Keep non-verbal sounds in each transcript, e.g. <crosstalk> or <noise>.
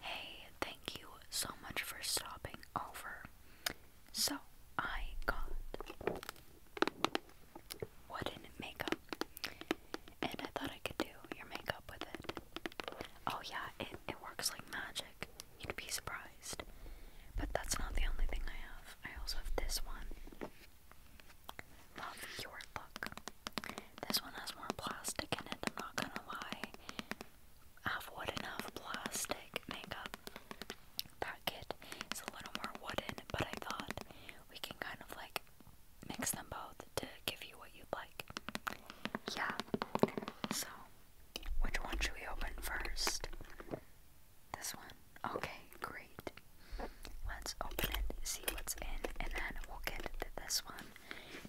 Hey, thank you so much for stopping over. So, I got wooden makeup, and I thought I could do your makeup with it. Oh, yeah, it, it works like magic. You'd be surprised. But that's not the only thing I have. I also have this one. Love your look. This one has more plastic in it, I'm not gonna lie. I've wood enough plastic makeup. That kit is a little more wooden, but I thought we can kind of like mix them both to give you what you'd like. Yeah. So, which one should we open first? This one? Okay, great. Let's open it, see what's in, and then we'll get to this one.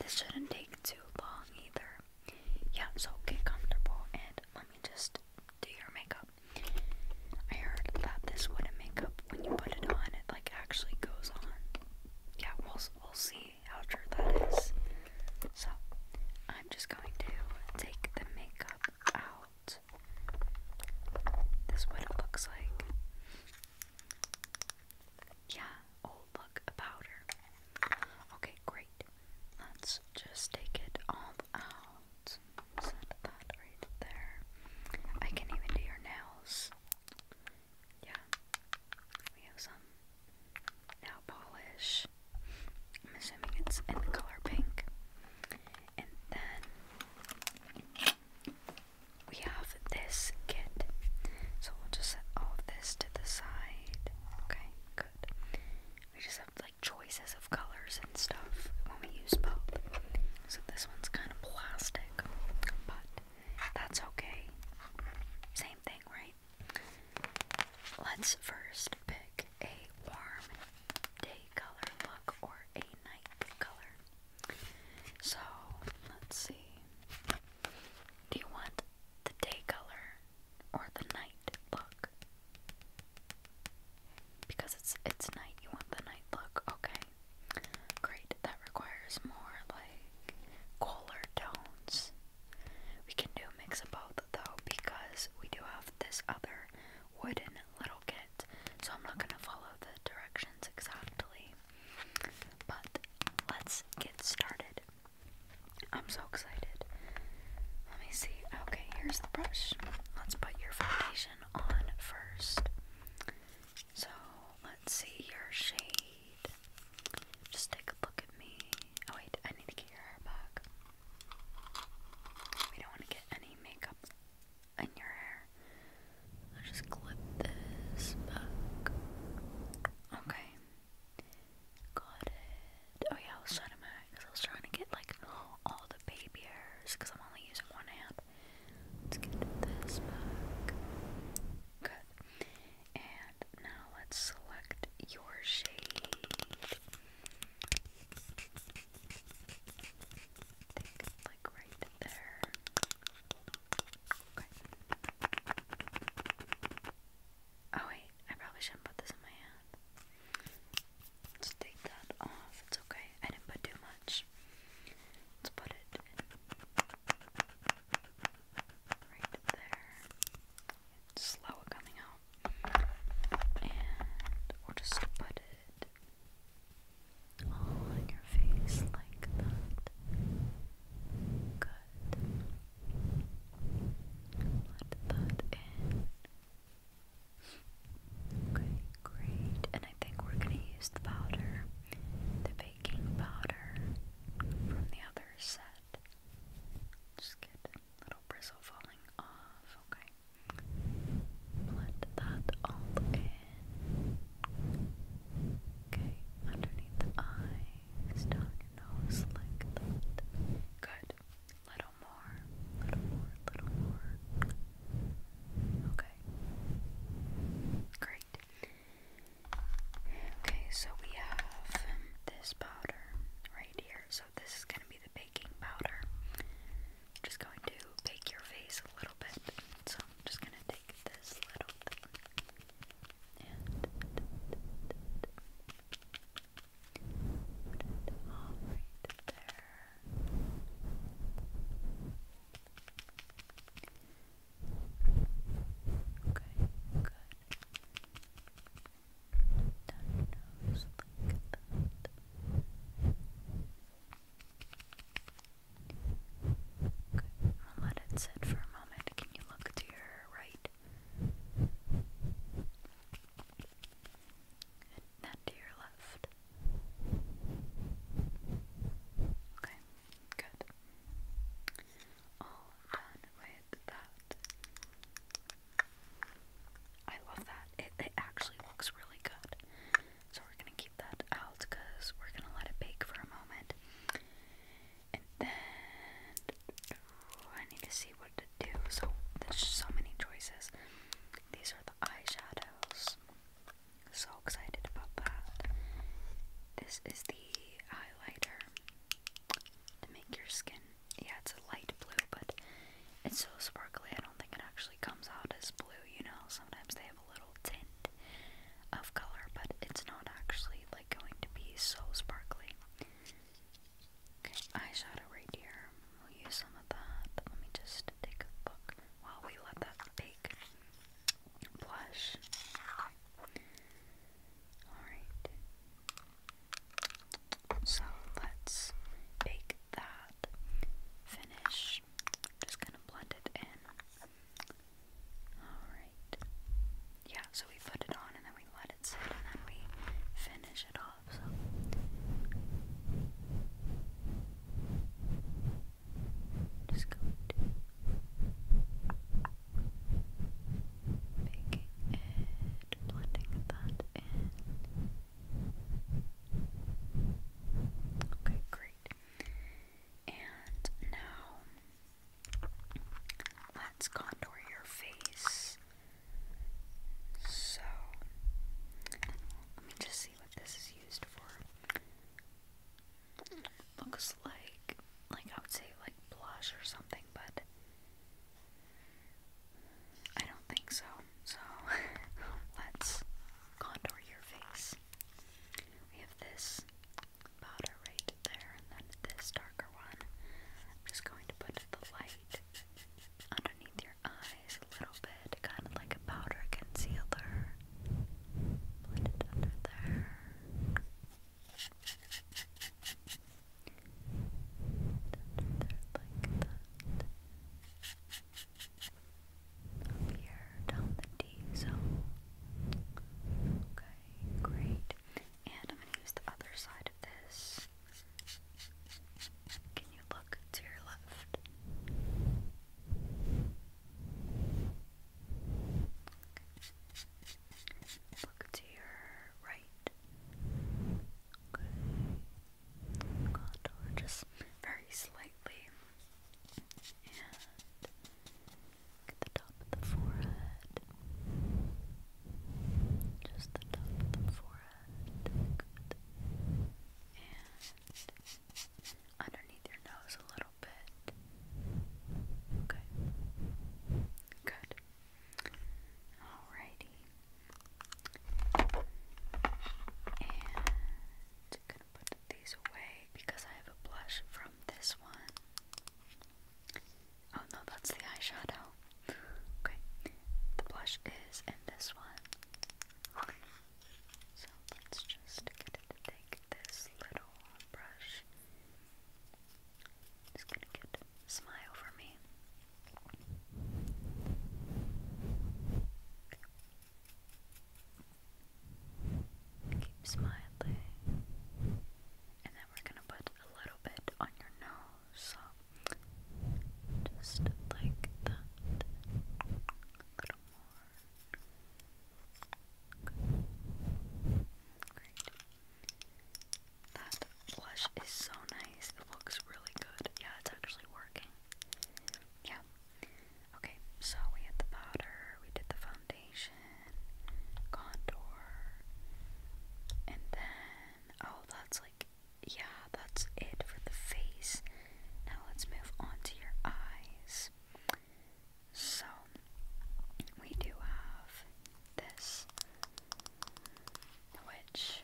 This shouldn't take too long either. Yeah, so get comfortable and let me just do your makeup. I heard that this wooden makeup, when you put it on, it like actually goes on. Yeah, we'll, we'll see how true that is. So, I'm just going to take the makeup out this. is what it looks like. Yeah, oh look, powder. Okay, great. Let's just take it all out. that right there. I can even do your nails. Yeah. We have some nail polish. I'm assuming it's in the color pink. And then we have this kit. So we'll just set all of this to the side. Okay, good. We just have like choices of colors and stuff when we use both. So this one's kind of plastic, but that's okay. Same thing, right? Let's first pick a warm day color look or a night color. So, let's see. Do you want the day color or the night look? Because it's it's night, you want the night look, okay. Great, that requires more like cooler tones. We can do a mix of both though because we do have this other wooden little kit, so I'm not gonna follow the directions exactly. But let's get started. I'm so excited. Let me see. Okay, here's the brush. Let's put your foundation on first. So let's see your shade. Just take a look at me. Oh, wait, I need to get your hair back. We don't want to get any makeup in your hair. I'll just clip this back. Okay. Got it. Oh yeah, I was trying to because I was trying to get like all the baby hairs because I'm only using one hand. Let's get this back. Good. And now let's select your shade like right there. Oh wait, I probably shouldn't put this in my hand. Let's take that off. It's okay. I didn't put too much. Let's put it right there. It's slow coming out. And we'll just put it all on your face like that. Good. Let that in. Okay, great. And I think we're going to use the powder, the baking powder from the other set. Just get little bristle falling off, okay? Let that all in. Okay, underneath the eyes, down your nose like that. Good. Little more, little more, little more. Okay. Great. Okay, so we have this powder right here. So this is gonna be the base powder. I'm just going to take your face a little bit. So I'm just going to take this little thing and put it all right there. Okay, good. Done nose like that let it sit for a moment. Can you look to your right? then to your left. Okay, good. All done with that. I love that. It, it actually looks really good. So we're gonna keep that out because we're gonna let it bake for a moment. And then I need to see what to do. So there's so many choices. These are the eyeshadows. So excited about that. This is the highlighter to make your skin. Yeah, it's a light blue, but it's so sparkly. I don't think it actually actually comes out as blue, you know, sometimes they have a little tint of color, but it's not actually like going to be so sparkly. Okay, eyeshadow right here. We'll use some of that. Let me just take a look while we let that bake. Blush. Alright. So let's bake that. Finish. Just gonna blend it in. Alright. Yeah, so we put it on and then we let it sit and then we finish it off, so. Just go to baking it, blending that in. Okay, great. And now let's contour your face. So let me just see what this is used for. Looks like like I would say like blush or something, but I don't think so. So <laughs> let's contour your face. We have this powder right there, and then this darker one. I'm just going to put the light underneath your eyes a little bit, kind of like a powder concealer. Put it under there. Under there like that up here down the D zone. Okay, great. And I'm going to use the other side of this. Can you look to your left? Look to your right. Okay. just very slightly and at the top of the forehead, just the top of the forehead, good, and underneath your nose a little bit, okay, good, alrighty. And I'm gonna put these away because I have a blush from this one. Oh no, that's the eyeshadow. Okay, the blush is in this one. So let's just get it to this little brush. It's gonna get smile for me. Keep smiling. And then we're gonna put a little bit on your nose. just like that. A little more. Great. That blush is so nice. It looks really good. Yeah, it's actually working. Yeah, Okay, so we had the powder, we did the foundation, contour, and then, oh, that's like, yeah, that's it for the face. Now let's move on to your eyes. So, we do have this, which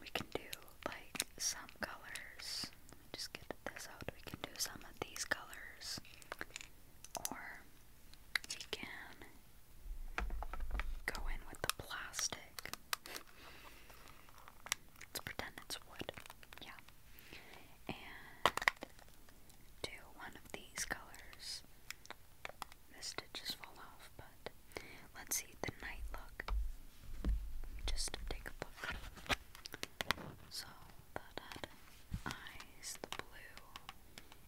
we can do like some colors just get this out. We can do some of these colors, or we can go in with the plastic. Let's pretend it's wood. Yeah. And do one of these colors. The stitches fall off, but let's see the night look. Just take a look. So that had eyes, the blue,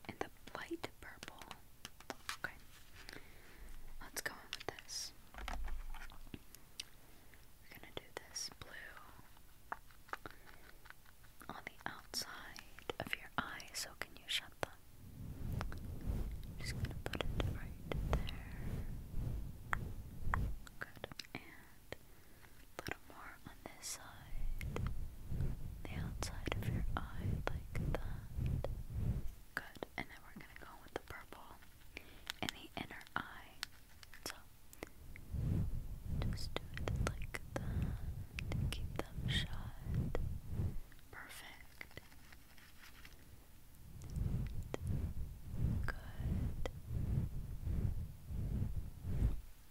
and the light purple. Okay. Let's go in with this. We're gonna do this blue on the outside of your eye, so can you shut them? just gonna put it right there. Good a little more on this side, the outside of your eye, like that. Good, and then we're gonna go with the purple in the inner eye. So just do it like that. Keep them shut. Perfect. Good.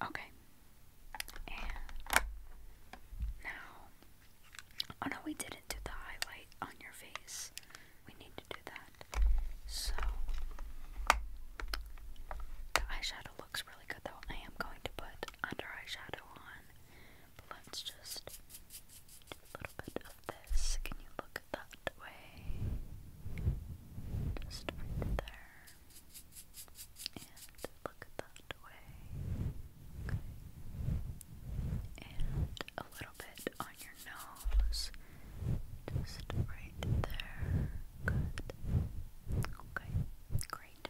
Okay. now, oh no, we didn't do the highlight on your face. We need to do that. So, the eyeshadow looks really good though. I am going to put under eyeshadow on, let's just do a little bit of this. Can you look at the that way, just right there, and look that way, and a little bit on your nose, just right there, good, okay, great,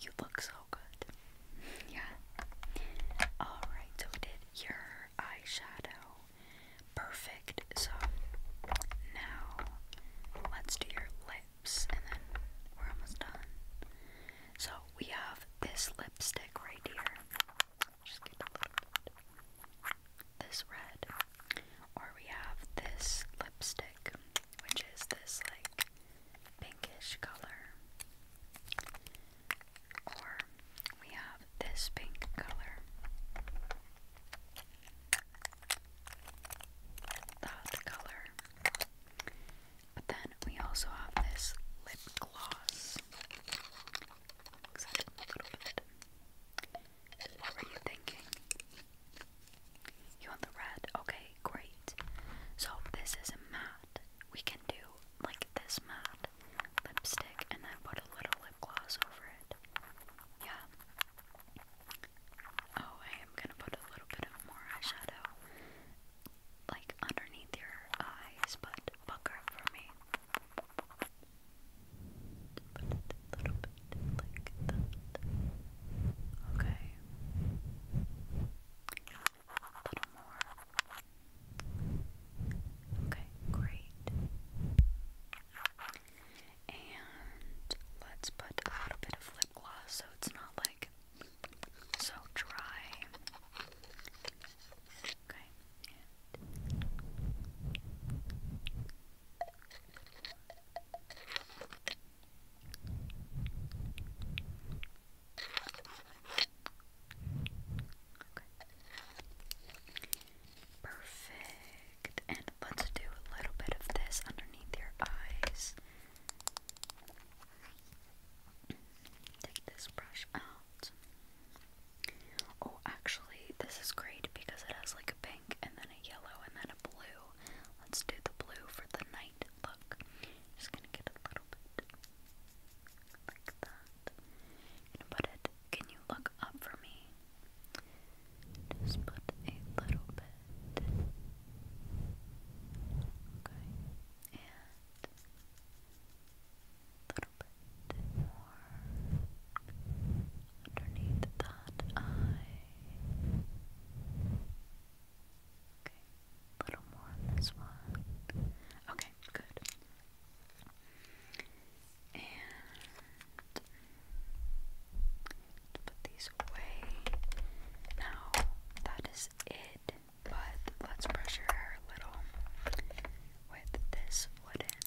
you look so good, yeah, alright, so we did your eyeshadow. Perfect. So now let's do your lips and then we're almost done. So we have this lipstick right here. Just get a little bit. This red. Or we have this lipstick, which is this like pinkish color. Or we have this pink color. That color. But then we also have this lip gloss. Mix it a little bit. What were you thinking? You want the red? Okay, great. So this is matte. We can do like this matte lipstick and then put a little lip gloss over it. Yeah. Oh, I am gonna put a little bit more eyeshadow like underneath your eyes, but pucker for me. Put a little bit like that. Okay. A little more. Okay, great. And let's put a bit of lip gloss so it's not like so dry. Okay. Perfect. And let's do a little bit of this underneath your eyes. Take this brush out. Oh, actually, this is great because it has like a pink and then a yellow and then a blue. Let's do the blue for the night look. Just gonna get a little bit like that. going put it. Can you look up for me? Just put a little bit. Okay. And a little bit more underneath that eye. Okay. A little more on this one. Okay, good. And put these away. Now that is it, but let's brush your hair a little with this wooden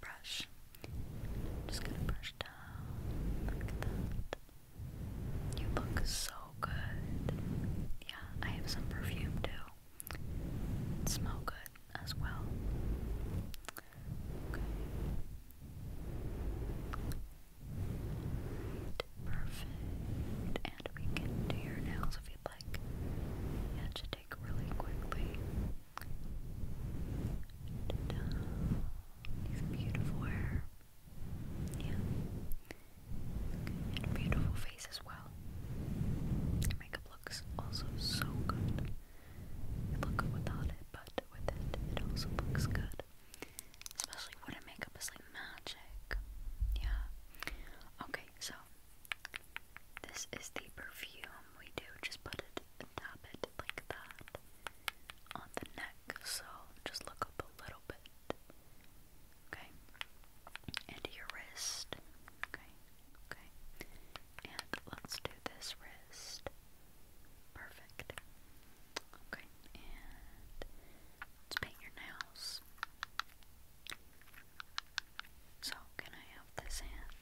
brush. just gonna brush down. Look at that. You look so good. Yeah, I have some perfume too. smell good as well. Okay. Perfect. And we can do your nails if you'd like. Yeah, should take really quickly. beautiful hair. Yeah. And beautiful face as well. Your makeup looks also so good. It look good without it, but with it, it also looks good. Especially when makeup is like magic. Yeah. Okay, so this is the perfume we do. Just put it tap it like that on the neck. So just look up a little bit. Okay. And your wrist. Okay. Okay. And let's do this wrist. Perfect. Okay, and let's paint your nails. So, can I have this hand?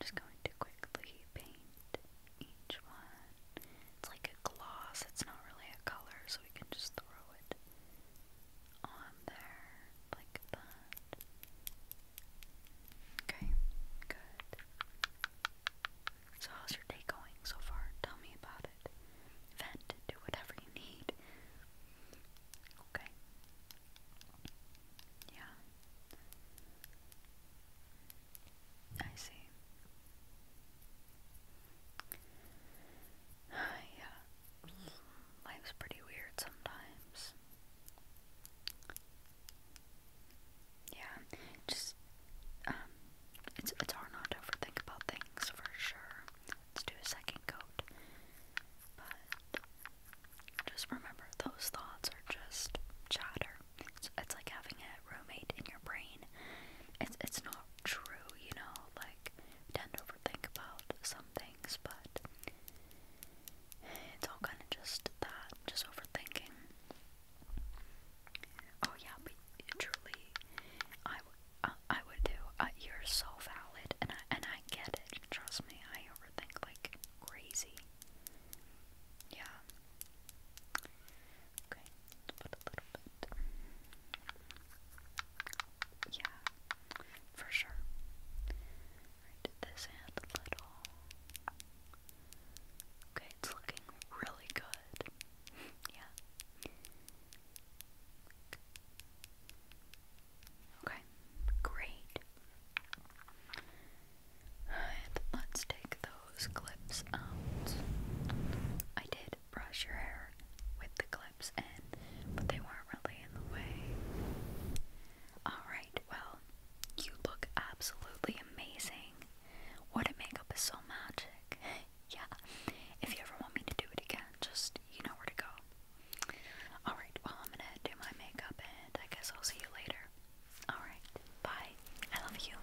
Just going to quickly paint each one. It's like a gloss, it's not really a color, so we can just throw it on there like that. Okay, good. So, how's your day going so far? Tell me about it. Vent, do whatever you need. Okay. Yeah. I see. <sighs> yeah. Life's pretty weird sometimes. Yeah, just um, it's it's hard not to overthink about things for sure. Let's do a second coat, but just remember those thoughts are just chatter. It's, like having a roommate in your brain. It's it's not true, you know. Like tend to overthink about some things, but it's all kind of just that, just overthinking. Oh yeah, but truly, I, uh, I would do. Uh, you're so valid, and I and I get it. Trust me, I overthink like crazy. Yeah. Okay, put a little bit. Yeah, for sure. Right, this and a little. Okay, it's looking really good. yeah. Okay, great. Alright, let's take those clips out. I did brush your hair with the clips in, but they weren't really in the way. Alright, well, you look absolutely amazing. What a makeup is so magic. <laughs> yeah. If you ever want me to do it again, just you know where to go. Alright, well, I'm gonna do my makeup and I guess I'll see you later. Alright, bye. I love you.